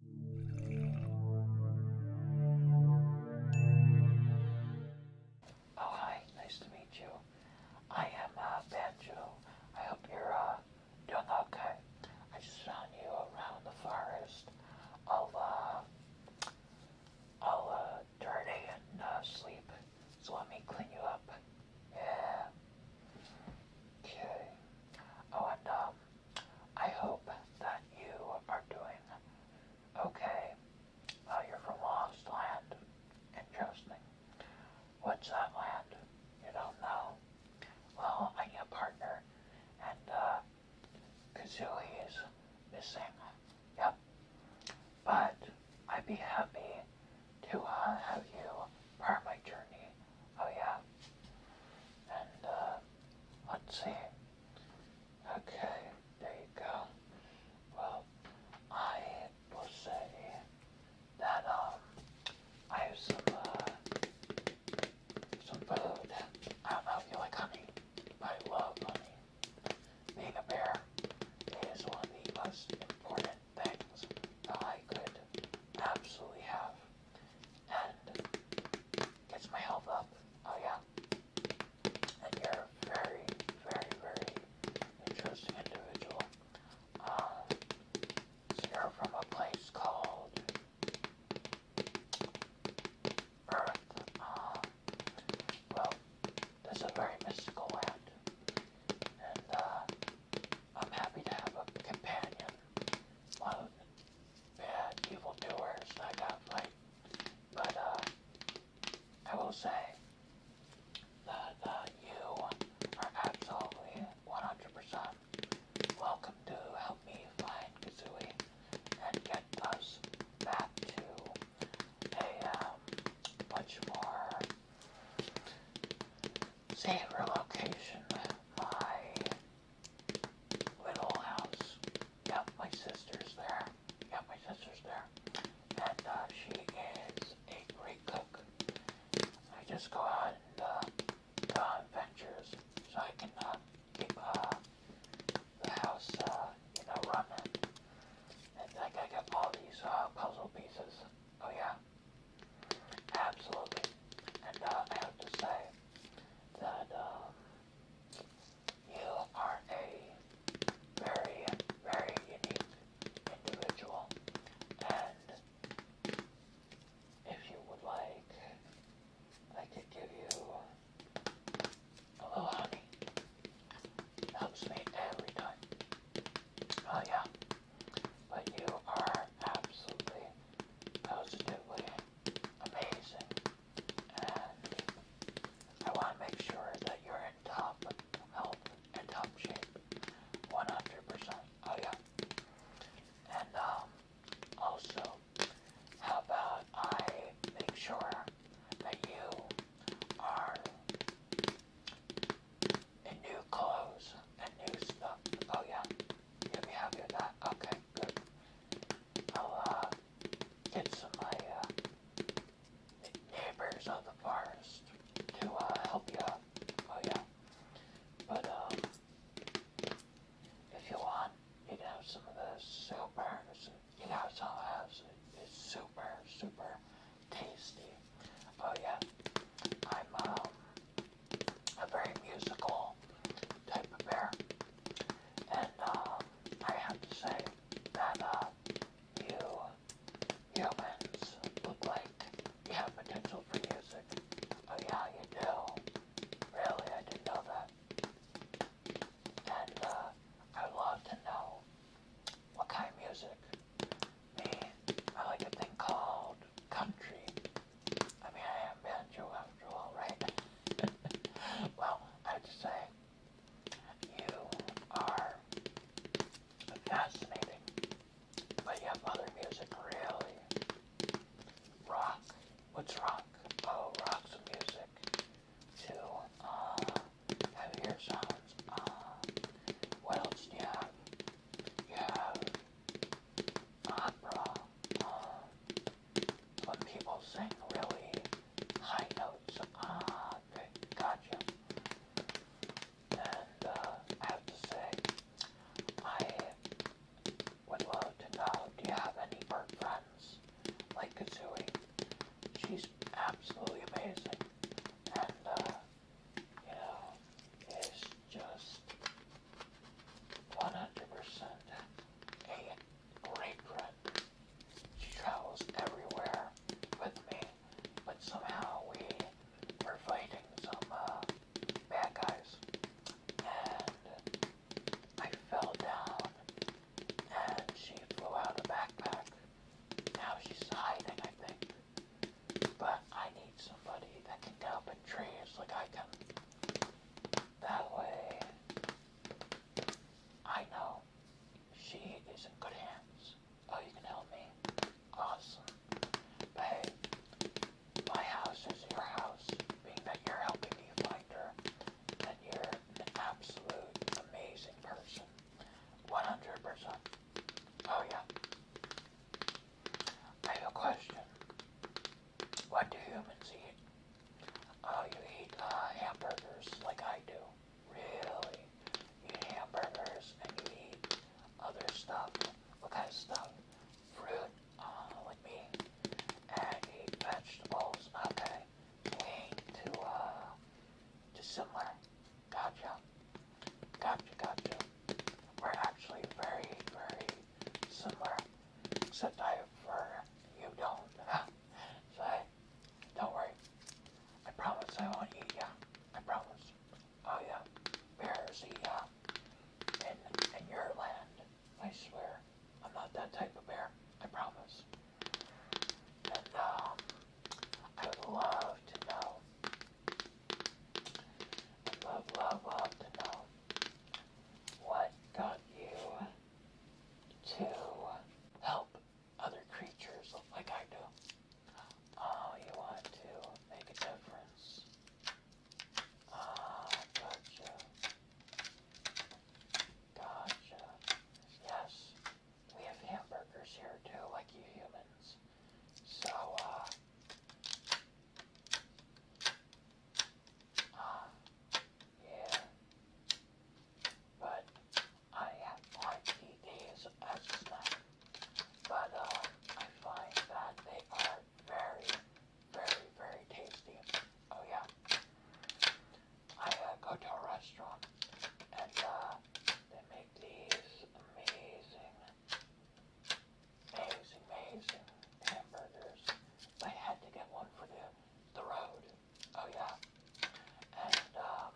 Oh, hi. Nice to meet you. I am uh, Banjo. I hope you're uh, doing okay. I just found you around the forest. All, uh, all uh, dirty and uh, sleep. So let me clean you up. Yeah. Okay. Oh, and um, I hope that you are doing okay while uh, you're from Lost Land. Interesting. What's that land? You don't know? Well, I need a partner, and uh, Kazooie is missing. Yep. But I'd be happy to uh, have you part my journey. Oh, yeah. And, uh, Let's see. Okay, there you go. Well, I will say that um, I have some uh, some food. I don't know if you like honey, but I love honey. Being a bear is one of the most important things that I could absolutely have and gets my health up. Oh yeah. And you're very, very, very interesting individual. Um, you're from a place called Earth. Um, well, this is a very mystical land. And, uh, I'm happy to have a companion. One of the bad evildoers I got like. But uh, I will say that uh, you are absolutely 100% welcome to help me find Kazooie and get us back to a um, much more safer location. My little house. Yep, my sister's there. Yep, my sister's there. And uh, she is a great cook. I just go out and uh, go on so I can uh, keep uh, the house, uh, you know, running. And like I got all these uh, puzzle pieces. Oh yeah, Absolutely. And uh, I have to say that um, you are a very, very unique individual. And if you would like, I could give you a honey. Helps me every time. Oh, yeah. But you are absolutely, positively amazing. And I want to make sure that you're in top health and top shape. 100%. Oh, yeah. And, um, also, how about I make sure that you are and new clothes and new stuff. Oh yeah, you'll be happy with that. Okay, good. I'll uh, get some of my uh, neighbors of the forest to uh, help you out. Oh yeah, but um, if you want, you can have some of the super. You know, some of the super, super tasty. Oh yeah, I'm um a very musical type of bear. And uh, I have to say that uh, you humans look like you have potential for music. Oh yeah, you do. Really, I didn't know that. And uh, I'd love to know what kind of music me, I like a thing called country. I mean, I am banjo after all, right? well, I have to say, you are fascinating, but you have other music really. Rock. What's rock? Oh, rock some music. To heavier uh, sounds. Uh, what else do you have? You have opera. when people sing really high notes, ah, okay, gotcha. And uh, I have to say, I would love to know, do you have any bird friends like Kazooie? She's absolutely amazing. And uh, Hell is just 100% a great friend. She travels everywhere with me, but somehow we were fighting some uh, bad guys. And I fell down, and she flew out of the backpack. Now she's hiding, I think. But I need somebody that can help in trees like I can. That way, I know she is in good hands. Oh, you can help me? Awesome. hey, my house is your house. Being that you're helping me find her, and you're an absolute amazing person. 100%. Oh, yeah. I have a question. What do humans eat? Oh, you eat uh, hamburgers like I do. Really? You eat hamburgers and you eat other stuff. What kind of stuff? Fruit, uh, like me. And eat vegetables. Okay. We ain't to uh, dissimilar. Gotcha. Gotcha, gotcha. We're actually very, very similar. Except I for you don't. so hey, don't worry. I promise I won't eat ya. I promise. Oh yeah. Bears eat ya. In, in your land. I swear. I'm not that type of bear. I promise. And um, I would love to know I'd love, love, love to know what got you to help other creatures like I do. Oh, you want to make a difference. Ah, gotcha. Gotcha. Yes, we have hamburgers here too, like you humans. So, uh, uh yeah. But I have like DDs as a snack. But uh, I find that they are very, very, very tasty. Oh yeah. I uh, go to a restaurant and uh, that make these amazing, amazing, amazing hamburgers. I had to get one for the, the road. Oh yeah. And um,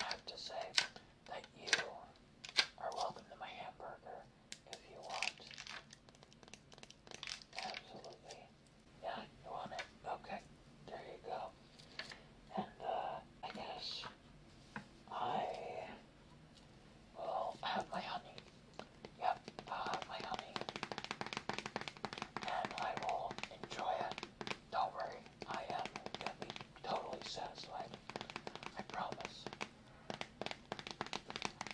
I have to say that you are welcome to my hamburger if you want. Absolutely. Yeah, you want it? Okay. There you go. And uh, I guess I will have my honey. Yep, I'll have my honey. And I will enjoy it. Don't worry, I am going to be totally satisfied. I promise.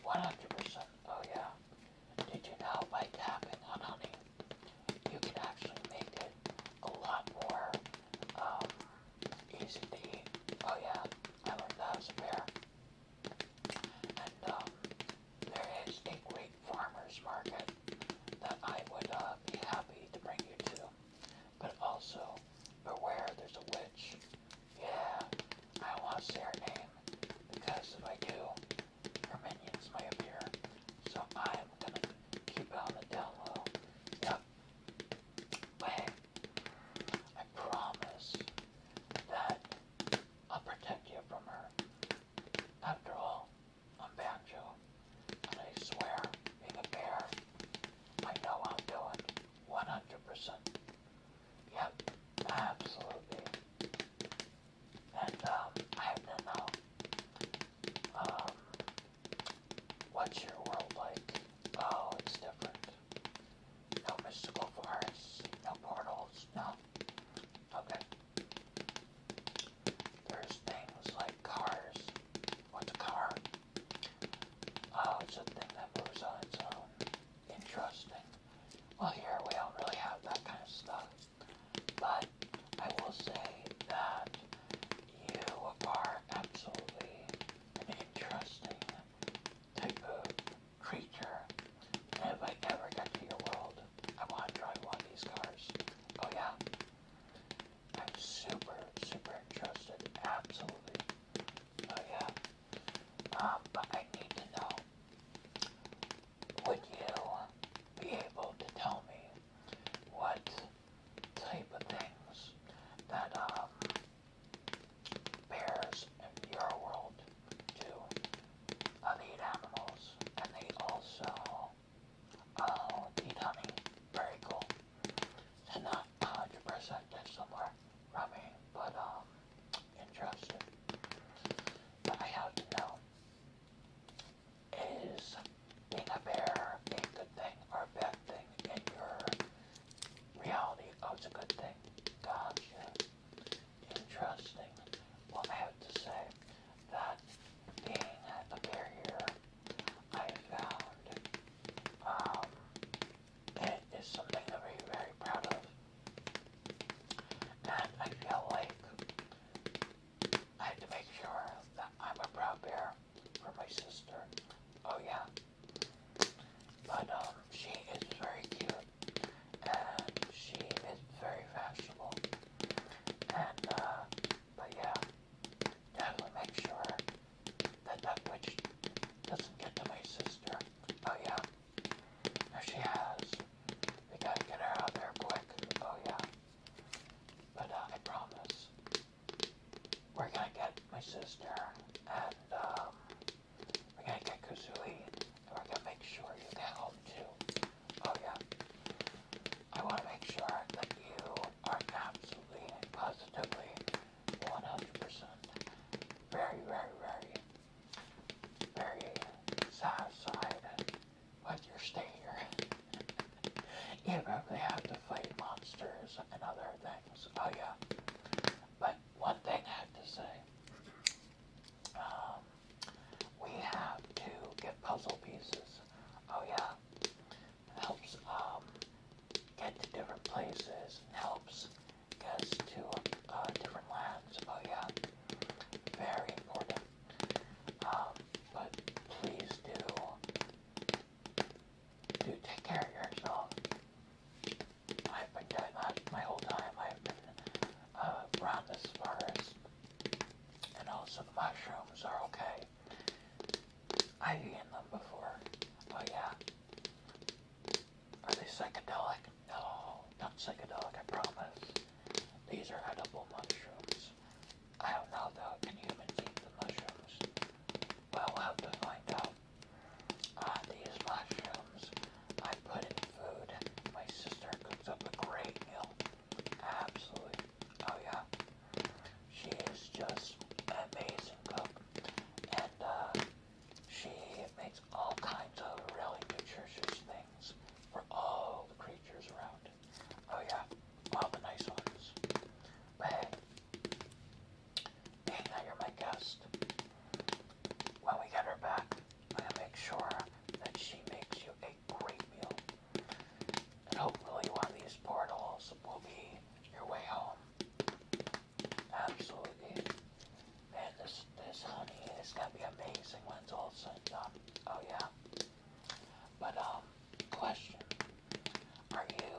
100%. Oh, yeah. Did you know by tapping on honey, you can actually make it a lot more um, is the, oh yeah, I love the House of Hair. And um, there is a great farmer's market that I would uh, be happy to bring you to. But also, beware there's a witch. Yeah, I don't want to say her name, because if I do, her minions might appear. So I'm gonna keep it on the down I promise that I'll protect you from her. After all, I'm Banjo. And I swear, being a bear, I know i am doing it. 100%. Yep, absolutely. And um, I know. Um, What's your world like? Oh, it's different. No mystical forests, no portals, no. Okay. There's things like cars. What's a car? Oh, it's a thing that moves on its own. Interesting. Well, here we don't really have that kind of stuff. But I will say that you are absolutely an interesting type of creature. And if I ever get to your world, I want to drive one of these cars. Oh yeah. I'm super, super interested. Absolutely. Oh yeah. Um, but I need to know, would you be able to tell me what type of things that um, bears in your world do. Uh, they eat animals, and they also uh, eat honey. Very cool. And not 100% that's somewhere but um, But I have to know is being a bear a good thing or a bad thing in your reality? it's a good thing. Gotcha. Interesting. Well, I have to say that being a bear here, I found um, it is something that we're very proud of. And I feel like I have to make sure that I'm a proud bear for my sister. Oh yeah. But um, she is very cute, and she is very fashionable. And uh, but yeah, definitely make sure that that witch doesn't get to my sister. Oh yeah. Now she has. We gotta get her out there quick. Oh yeah. But uh, I promise, we're gonna get my sister and um, we're gonna get Kazooie, and we're gonna make sure you get home too. Oh yeah, I want to make sure that you are absolutely, positively, 100%, very, very, very, very satisfied but you're staying here. you know, they have to fight monsters and other things. Oh, yeah. But one thing I have to say um, we have to get puzzle pieces. Oh, yeah. helps um, get to different places, helps get us to uh, different lands. Oh, yeah. Very important. Um, but please do, do take care of yourself. I've been doing my whole time. I've been uh, around this forest. And also mushrooms are okay. I've eaten them before. Oh yeah. Are they psychedelic? No, not psychedelic, I promise. These are edible mushrooms. I don't know though, can humans eat the mushrooms? Well, we'll have to find out. Ah, these mushrooms I put in food. My sister cooks up a great meal. Absolutely. Oh yeah. She is just an amazing cook. And uh, she makes all kinds of really nutritious things for all the creatures around. Oh yeah, all the nice ones. But hey, being that you're my guest, when we get her back, I'm going to make sure that she makes you a great meal. And hopefully one of these portals will be your way home. Absolutely. Man, this this honey is gonna be amazing when it's all said up. Oh yeah. But um, question: Are you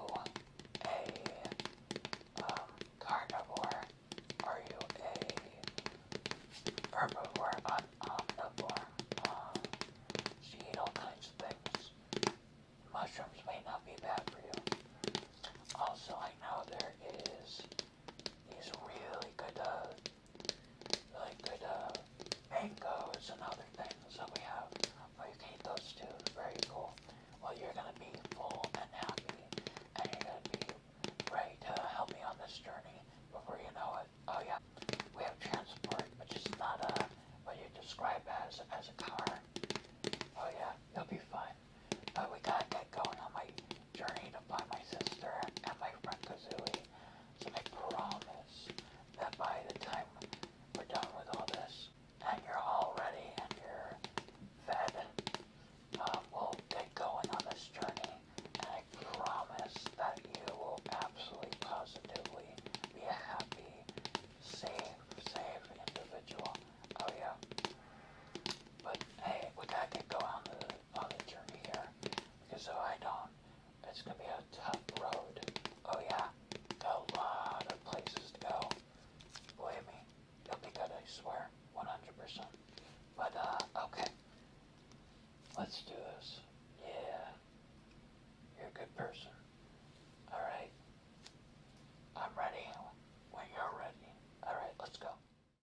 a um, carnivore? Are you a herbivore? An omnivore? Um, uh, eat all kinds of things. Mushrooms may not be bad for you. Also, I know there is these really good. Uh, really good uh, mangoes and other things that we have. Well, you can eat those too. Very cool. Well, you're going to be full and happy, and you're going to be ready to help me on this journey before you know it. Oh, yeah. We have transport, which is not a, uh, what you describe as, as a car. Oh, yeah. You'll be fine. But we got to get going on my journeyed by my sister and my friend Kazooie, so I promise that by the time we're done with all this, and you're all ready and you're fed, uh, we'll get going on this journey, and I promise that you will absolutely positively be a happy, safe, safe individual. Oh yeah. But hey, we gotta get on this on the journey here. Because I do it's gonna be a tough road. Oh yeah, a lot of places to go. Believe me, you'll be good, I swear, 100%. But, uh, okay. Let's do this. Yeah. You're a good person. Alright. I'm ready when you're ready. Alright, let's go.